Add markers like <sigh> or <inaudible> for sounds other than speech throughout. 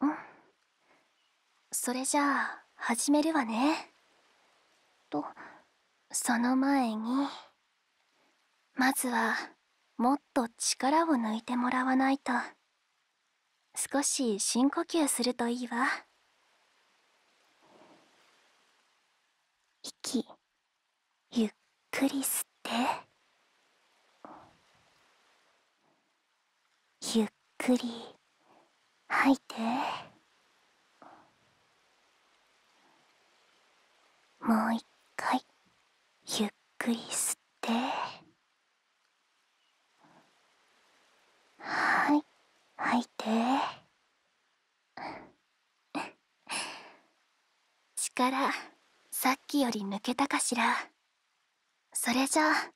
うんそれじゃあ始めるわねとその前にまずはもっと力を抜いてもらわないと少し深呼吸するといいわ息ゆっくり吸ってゆっくり吐いてもう一回ゆっくり吸ってはい吐いて力さっきより抜けたかしらそれじゃあ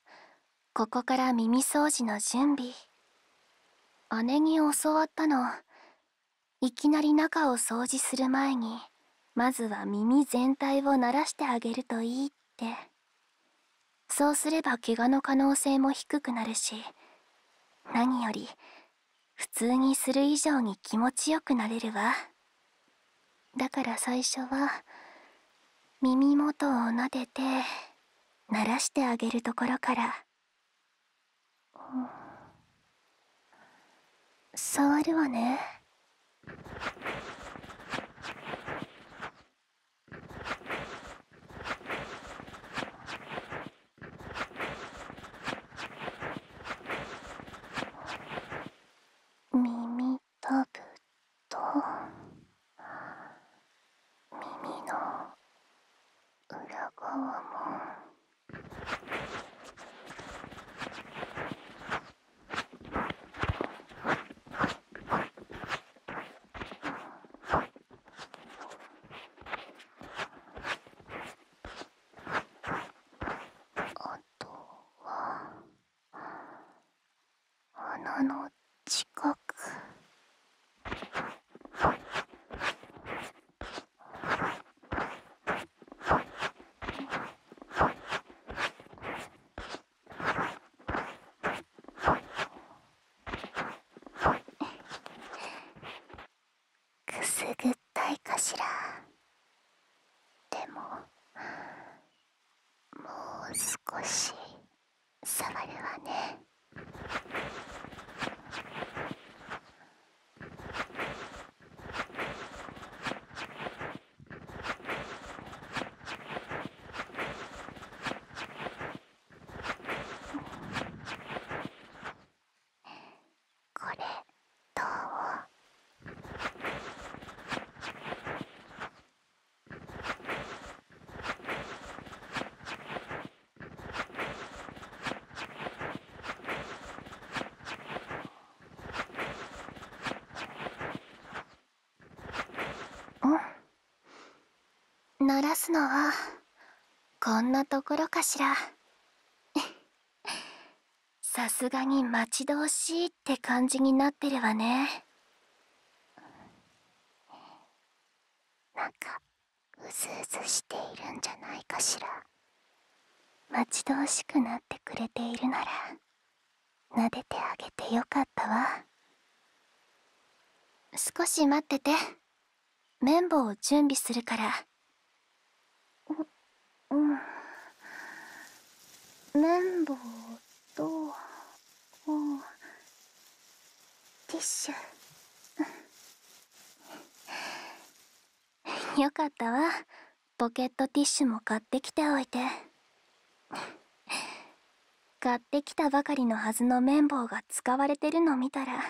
ここから耳掃除の準備姉に教わったのいきなり中を掃除する前にまずは耳全体を慣らしてあげるといいってそうすれば怪我の可能性も低くなるし何より普通にする以上に気持ちよくなれるわ。だから最初は耳元を撫でて鳴らしてあげるところから、触るわね耳タブと耳の裏側もあとは。穴の近くくすぐったいかしらでももう少し触るわねこれどう鳴らすのはこんなところかしらさすがに待ち遠しいって感じになってるわねなんかうずうずしているんじゃないかしら待ち遠しくなってくれているなら撫でてあげてよかったわ少し待ってて綿棒を準備するからううん綿棒とティッシュ <laughs> よかったわポケットティッシュも買ってきておいて買ってきたばかりのはずの綿棒が使われてるの見たら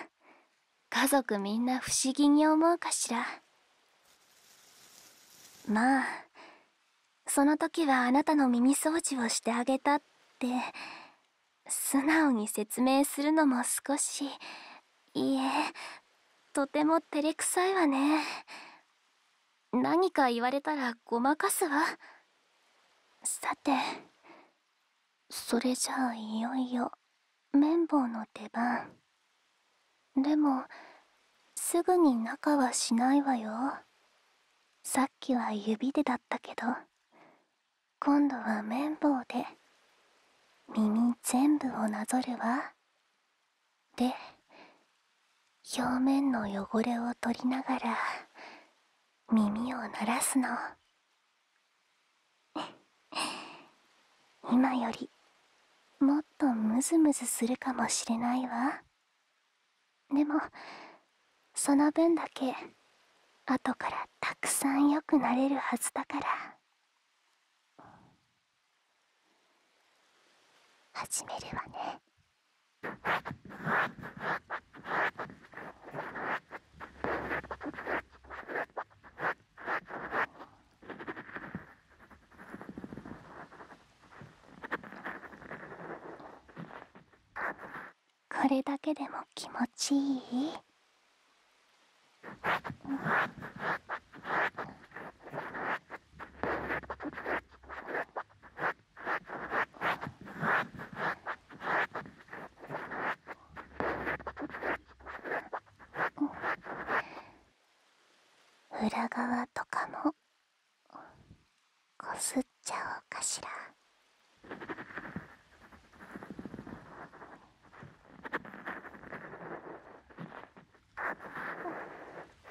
家族みんな不思議に思うかしら。まあその時はあなたの耳掃除をしてあげたって素直に説明するのも少しいえとても照れくさいわね何か言われたらごまかすわさてそれじゃあいよいよ綿棒の出番。でもすぐに仲はしないわよさっきは指でだったけど今度は綿棒で耳全部をなぞるわで表面の汚れを取りながら耳を鳴らすの <laughs> 今よりもっとムズムズするかもしれないわでもその分だけ後からたくさん良くなれるはずだから始めるわねこれだけでも気持ちいいん裏側とかもこすっちゃおうかしら。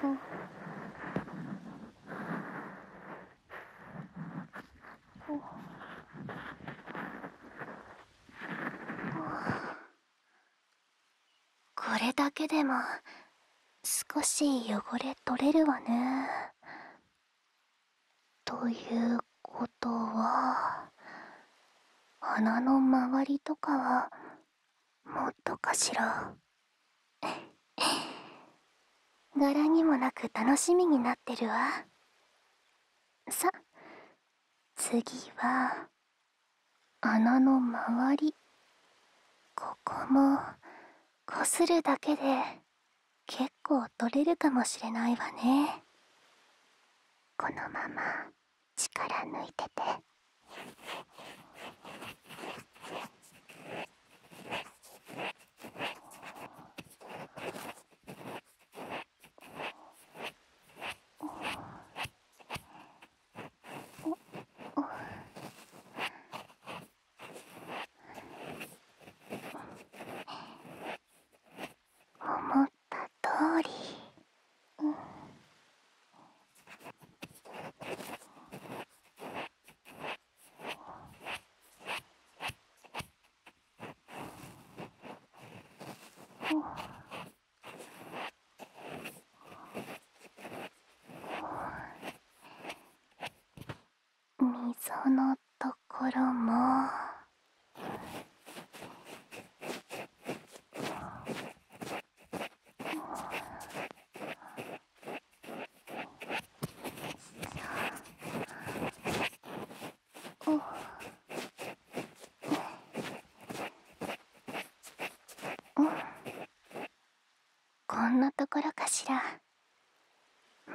うんこれだけでも少し汚れ取れるわねということは鼻の周りとかはもっとかしら <laughs> 柄にもなく楽しみになってるわさ次は穴の周りここもこするだけで結構取れるかもしれないわねこのまま力抜いてて。思った通り、うん、溝のところもこんなところかしら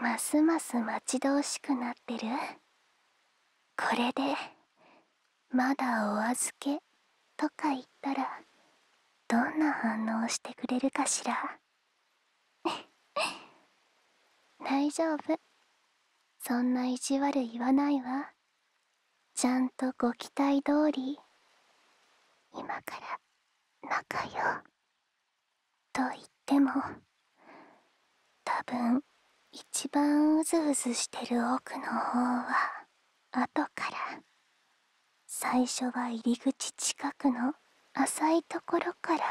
ますます待ち遠しくなってるこれでまだお預けとか言ったらどんな反応してくれるかしら <laughs> 大丈夫そんな意地悪言わないわちゃんとご期待通り今から仲よと言ってもた多分一番うずうずしてる奥の方は後から最初は入り口近くの浅いところから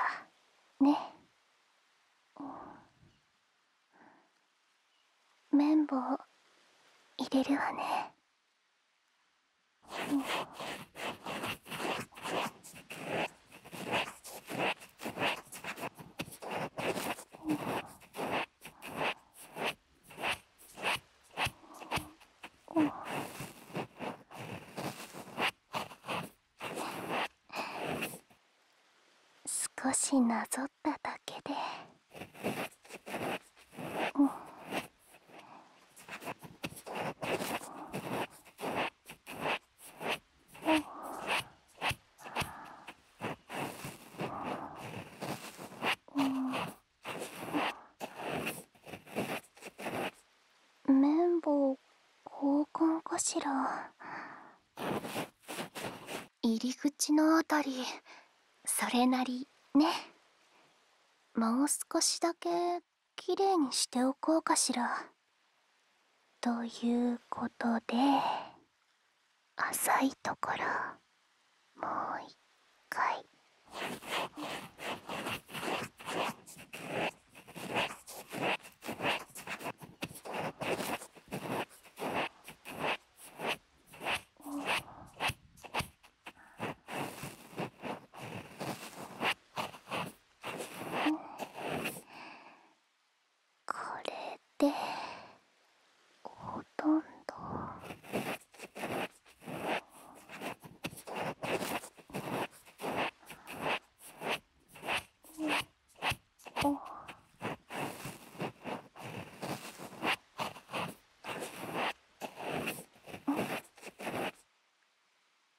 ね。綿棒入れるわねすこしな謎取ん、ただけでうん綿棒交換かしら入り口のあたりそれなりねもう少しだけきれいにしておこうかしらということで浅いところもう一回。これでほとんどお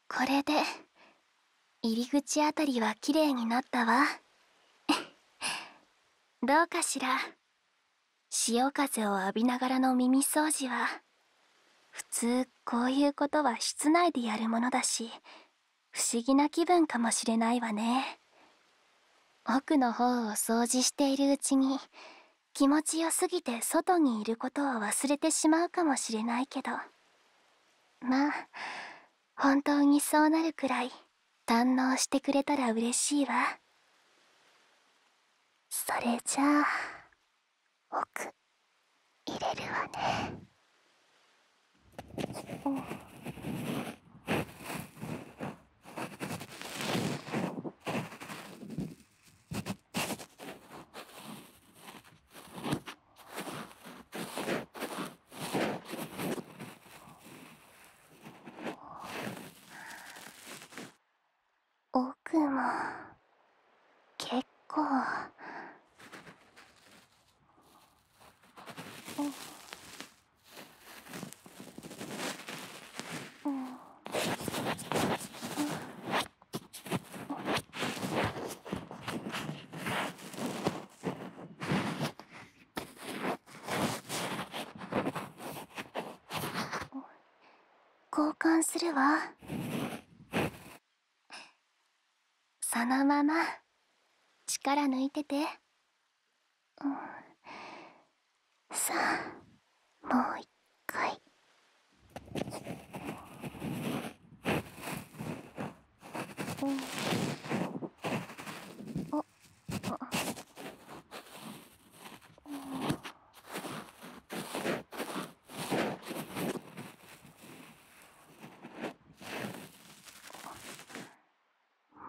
これで入り口あたりは綺麗になったわ <laughs> どうかしら潮風を浴びながらの耳掃除は普通こういうことは室内でやるものだし不思議な気分かもしれないわね奥の方を掃除しているうちに気持ちよすぎて外にいることを忘れてしまうかもしれないけどまあ本当にそうなるくらい堪能してくれたら嬉しいわそれじゃあ奥入れるわねちっ…奥も結構交換するわそのまま力抜いてて。ん、さあもう一回。っ、っ…おっ…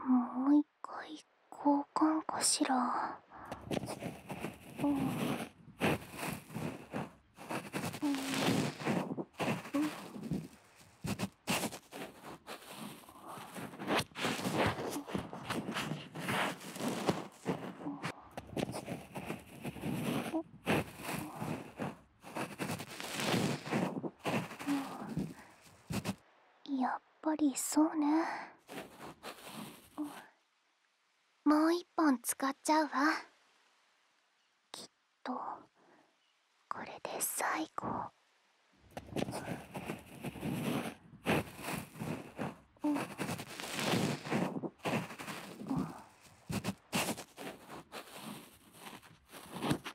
もう一回交換かしら。うんうんうんやっぱりそうねもう一本使っちゃうわきっとこれで最後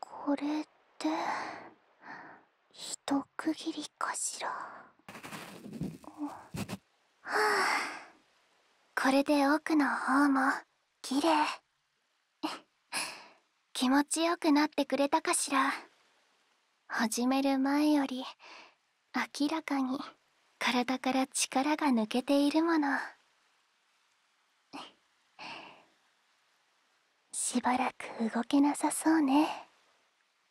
これって一区切りかしらはあこれで奥の方も綺麗 <laughs> 気持ちよくなってくれたかしら始める前より明らかに体から力が抜けているものしばらく動けなさそうね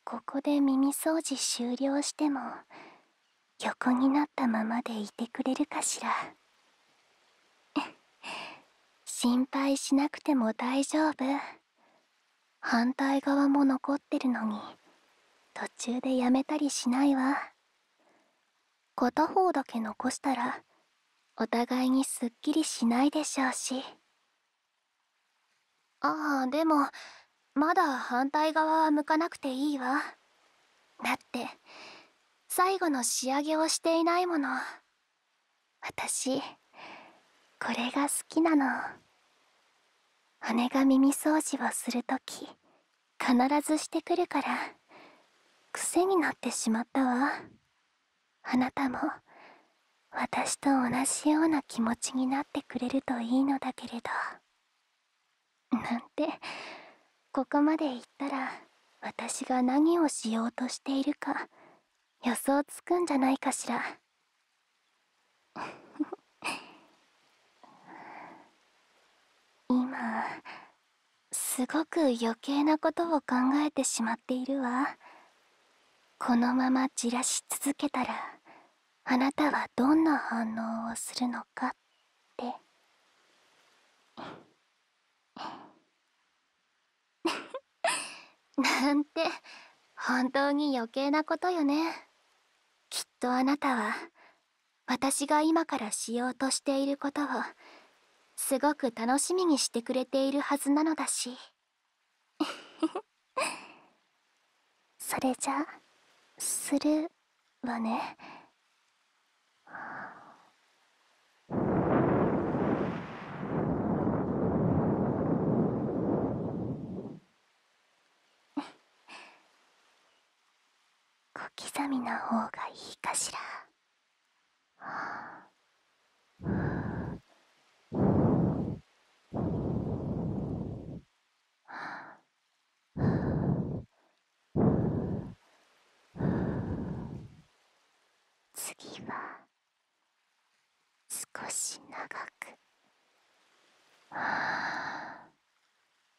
ここで耳掃除終了しても横になったままでいてくれるかしら心配しなくても大丈夫反対側も残ってるのに途中でやめたりしないわ片方だけ残したらお互いにすっきりしないでしょうしああでもまだ反対側は向かなくていいわだって最後の仕上げをしていないもの私これが好きなの羽が耳掃除をするとき必ずしてくるから癖になってしまったわあなたも私と同じような気持ちになってくれるといいのだけれどなんてここまで言ったら私が何をしようとしているか予想つくんじゃないかしら <laughs> 今すごく余計なことを考えてしまっているわこのままじらし続けたらあなたはどんな反応をするのかって <laughs> なんて本当に余計なことよねきっとあなたは私が今からしようとしていることをすごく楽しみにしてくれているはずなのだし <laughs> それじゃするわね。<laughs> 小刻みな方がいいかしら。次は少し長く。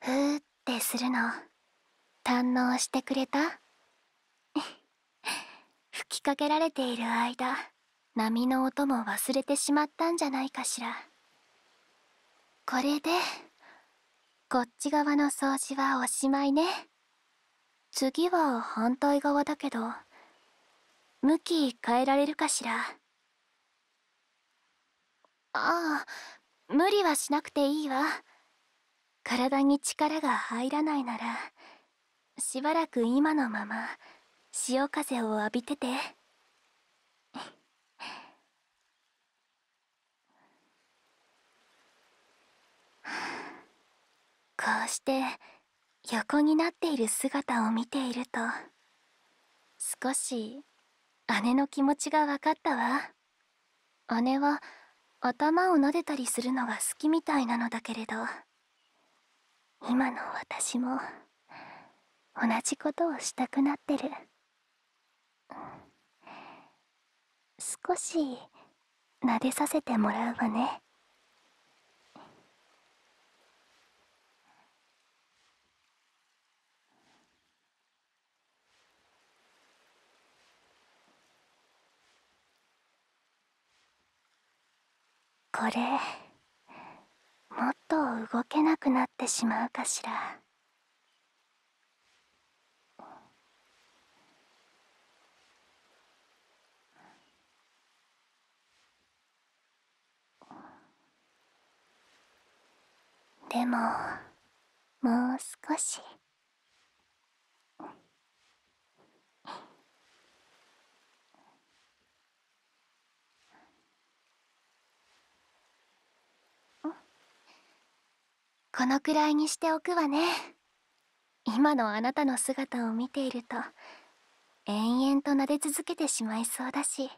ふーってするの堪能してくれた <laughs> 吹きかけられている間波の音も忘れてしまったんじゃないかしらこれでこっち側の掃除はおしまいね次は反対側だけど向き変えられるかしらああ無理はしなくていいわ体に力が入らないならしばらく今のまま潮風を浴びてて <laughs> こうして横になっている姿を見ていると少し姉の気持ちが分かったわ姉は頭を撫でたりするのが好きみたいなのだけれど今の私も同じことをしたくなってる少し撫でさせてもらうわねこれもっと動けなくなってしまうかしら。でももう少しこのくらいにしておくわね今のあなたの姿を見ていると延々と撫で続けてしまいそうだし。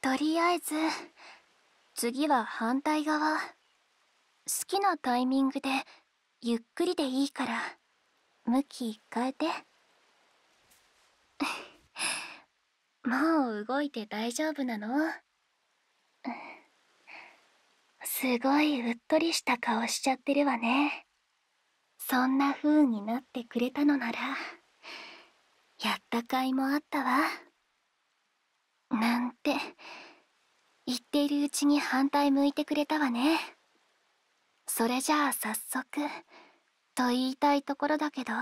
とりあえず次は反対側好きなタイミングでゆっくりでいいから向き変えて <laughs> もう動いて大丈夫なのすごいうっとりした顔しちゃってるわねそんな風になってくれたのならやった甲斐もあったわなんて言っているうちに反対向いてくれたわねそれじゃあ早速と言いたいところだけど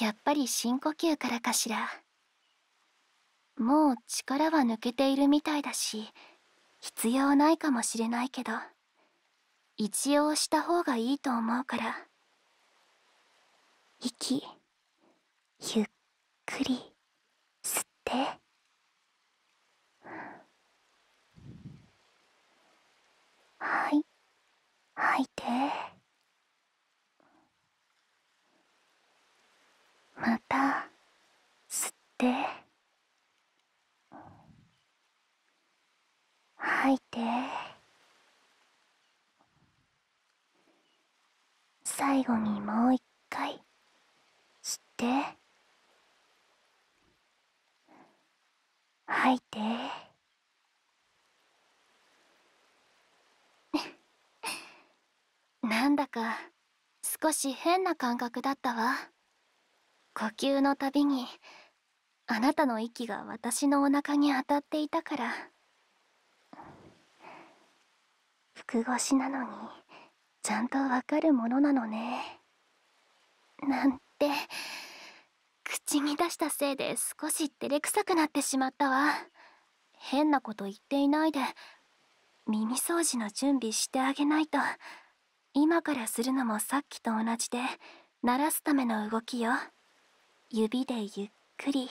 やっぱり深呼吸からかしらもう力は抜けているみたいだし必要ないかもしれないけど一応した方がいいと思うから息ゆっくり吸ってはい吐いてまた吸って。吐いて最後にもう一回吸って吐いてなんだか少し変な感覚だったわ呼吸のたびにあなたの息が私のお腹に当たっていたから服越しなのにちゃんとわかるものなのねなんて口に出したせいで少し照れくさくなってしまったわ変なこと言っていないで耳掃除の準備してあげないと。今からするのもさっきと同じで鳴らすための動きよ指でゆっくり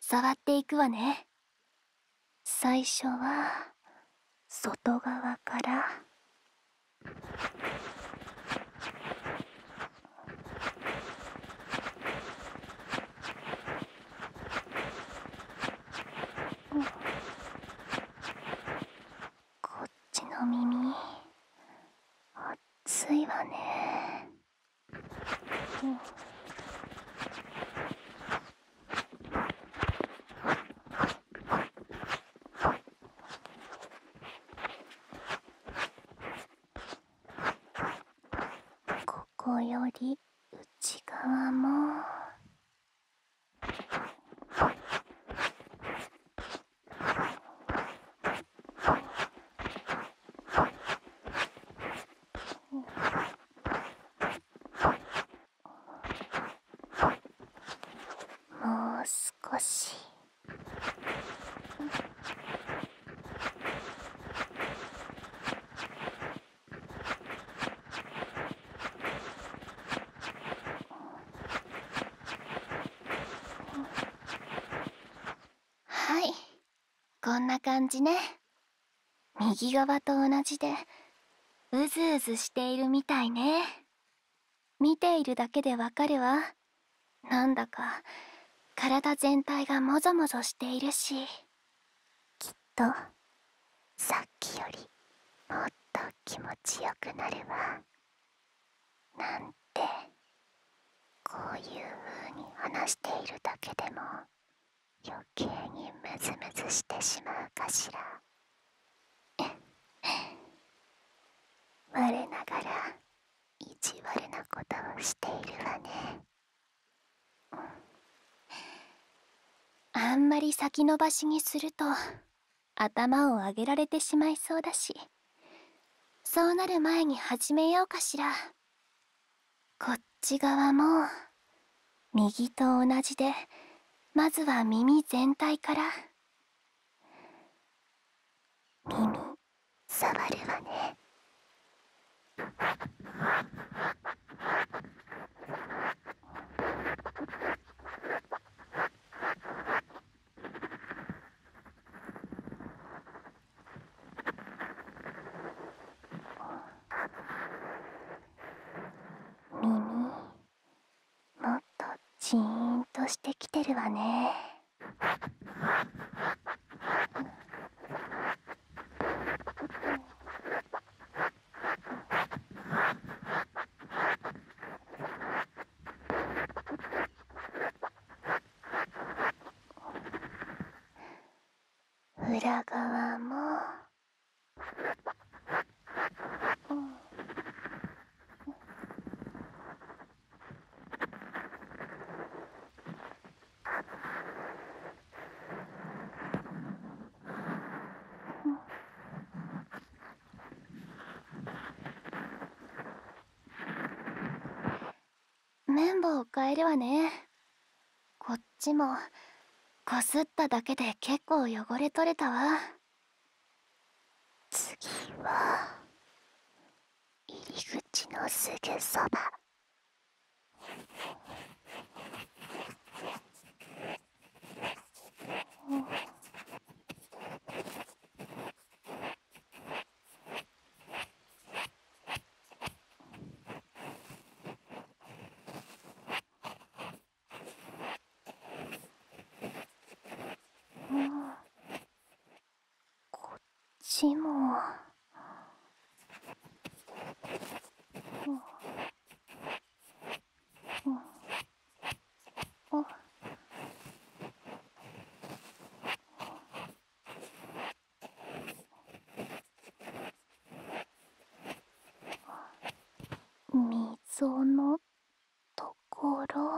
触っていくわね最初は外側からこっちの耳熱いわねここより内側も。もう少し。はいこんな感じね右側と同じでうずうずしているみたいね見ているだけでわかるわなんだか体全体がもぞもぞしているし。きっとさっきよりもっと気持ちよくなるわなんてこういう風に話しているだけでも余計にムズムズしてしまうかしら <laughs> 我ながら意地悪なことをしているわねあんまり先延ばしにすると頭を上げられてしまいそうだしそうなる前に始めようかしらこっち側も右と同じでまずは耳全体から耳触るわね耳もっとジーンとしてきてるわね。裏側も、うん綿棒を変えるわねこっちもこすっただけで結構汚れとれたわ次は入り口のすぐそば……こっちも。おお溝のところ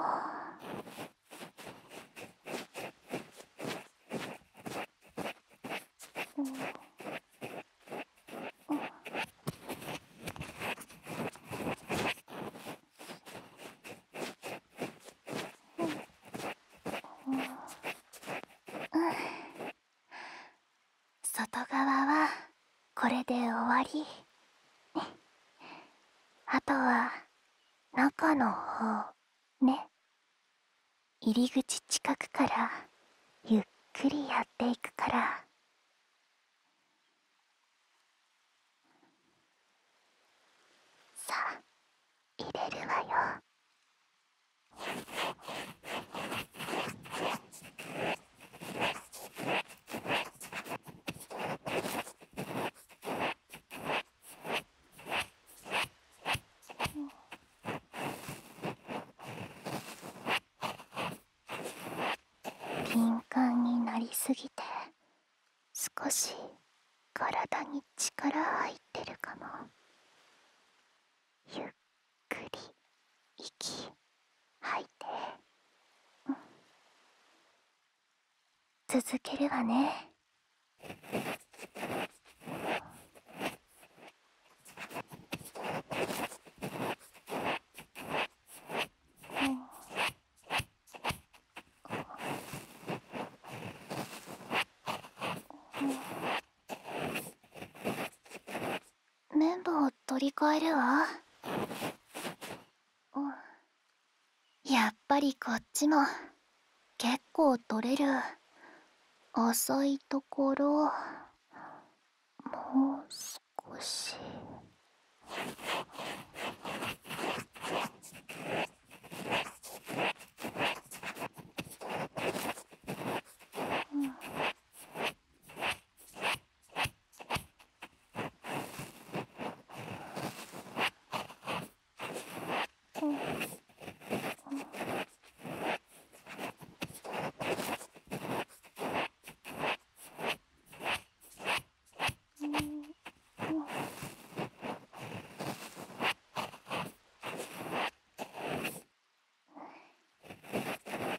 ん。ん、ん、ん外側はこれで終わりあとは中の方ね入り口近くからゆっくりやっていくからさあ入れるわよ。敏感になりすぎて少し体に力入ってるかもゆっくり息吐いて、うん、続けるわねっ、綿棒取り替えるわやっぱりこっちも結構取れる浅いところもう少し。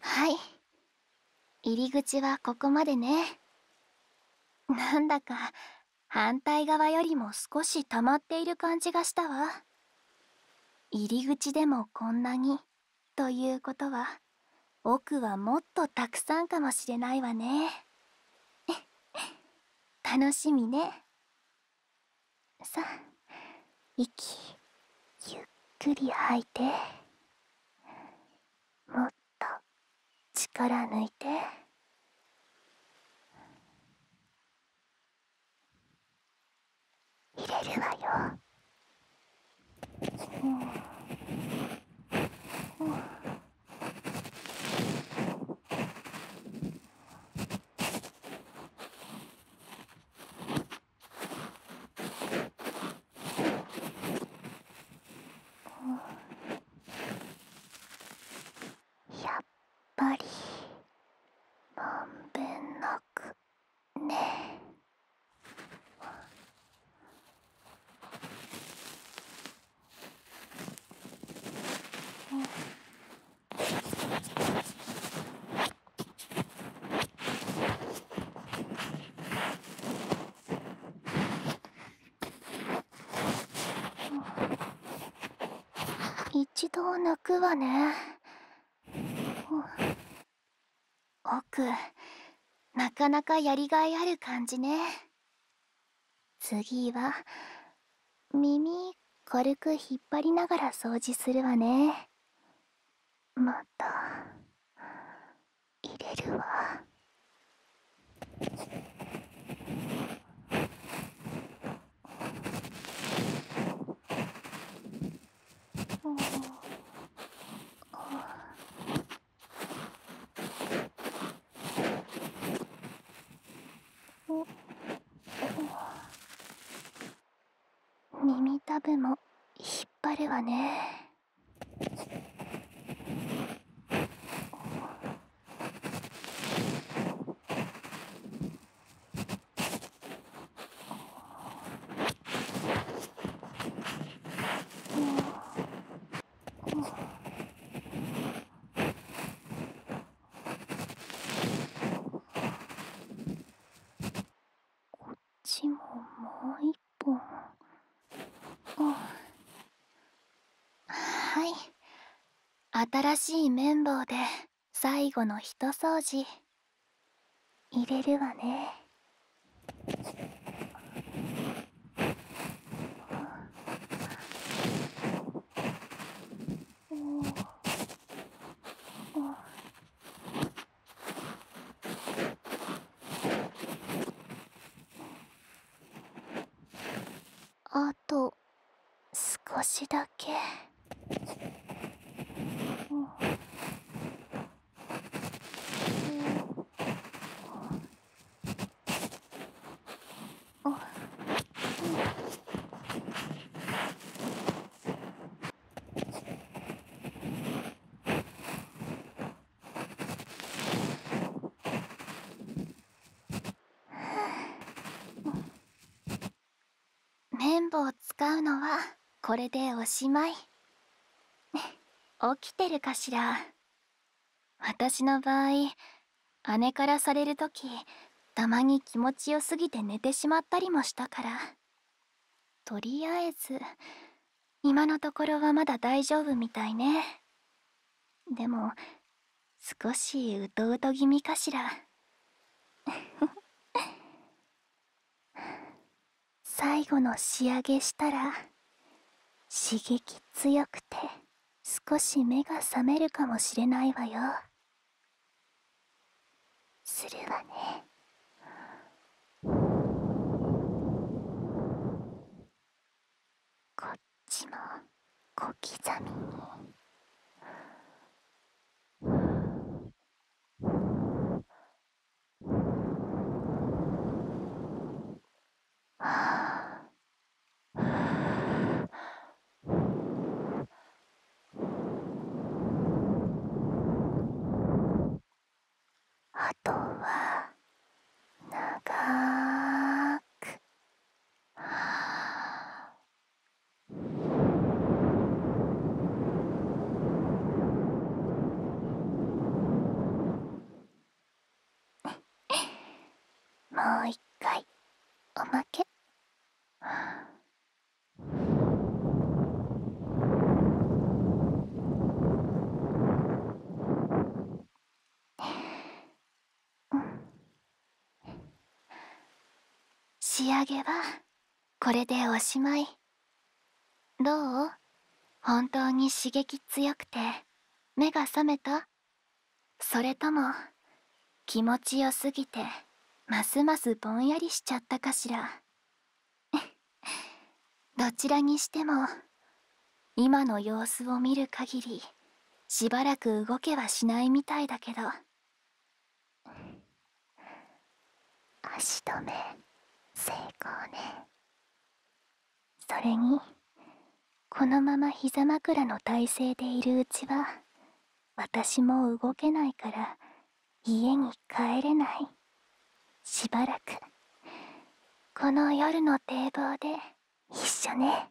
はい入り口はここまでねなんだか反対側よりも少し溜まっている感じがしたわ入り口でもこんなにということは奥はもっとたくさんかもしれないわね <laughs> 楽しみねさあ息ゆっくり吐いてもっと力抜いて入れるわよ。やっぱりまんべんなくねえ一度泣くわね。奥なかなかやりがいある感じね次は耳軽く引っ張りながら掃除するわねまた入れるわおおお耳たぶも引っ張るわね。おちももう一本はい新しい綿棒で最後の一掃除入れるわねあと少しだけ。綿棒を使うのはこれでおしまい <laughs> 起きてるかしら私の場合姉からされる時たまに気持ちよすぎて寝てしまったりもしたからとりあえず今のところはまだ大丈夫みたいねでも少しうとうと気味かしら。最後の仕上げしたら刺激強くて少し目が覚めるかもしれないわよするわねこっちも小刻みにあとは長くはもう一回おまけ。うん、仕上げはこれでおしまいどう本当に刺激強くて目が覚めたそれとも気持ちよすぎてますますぼんやりしちゃったかしら <laughs> どちらにしても今の様子を見る限りしばらく動けはしないみたいだけど足止め成功ねそれにこのまま膝枕の体勢でいるうちは私も動けないから家に帰れないしばらくこの夜の堤防で一緒ね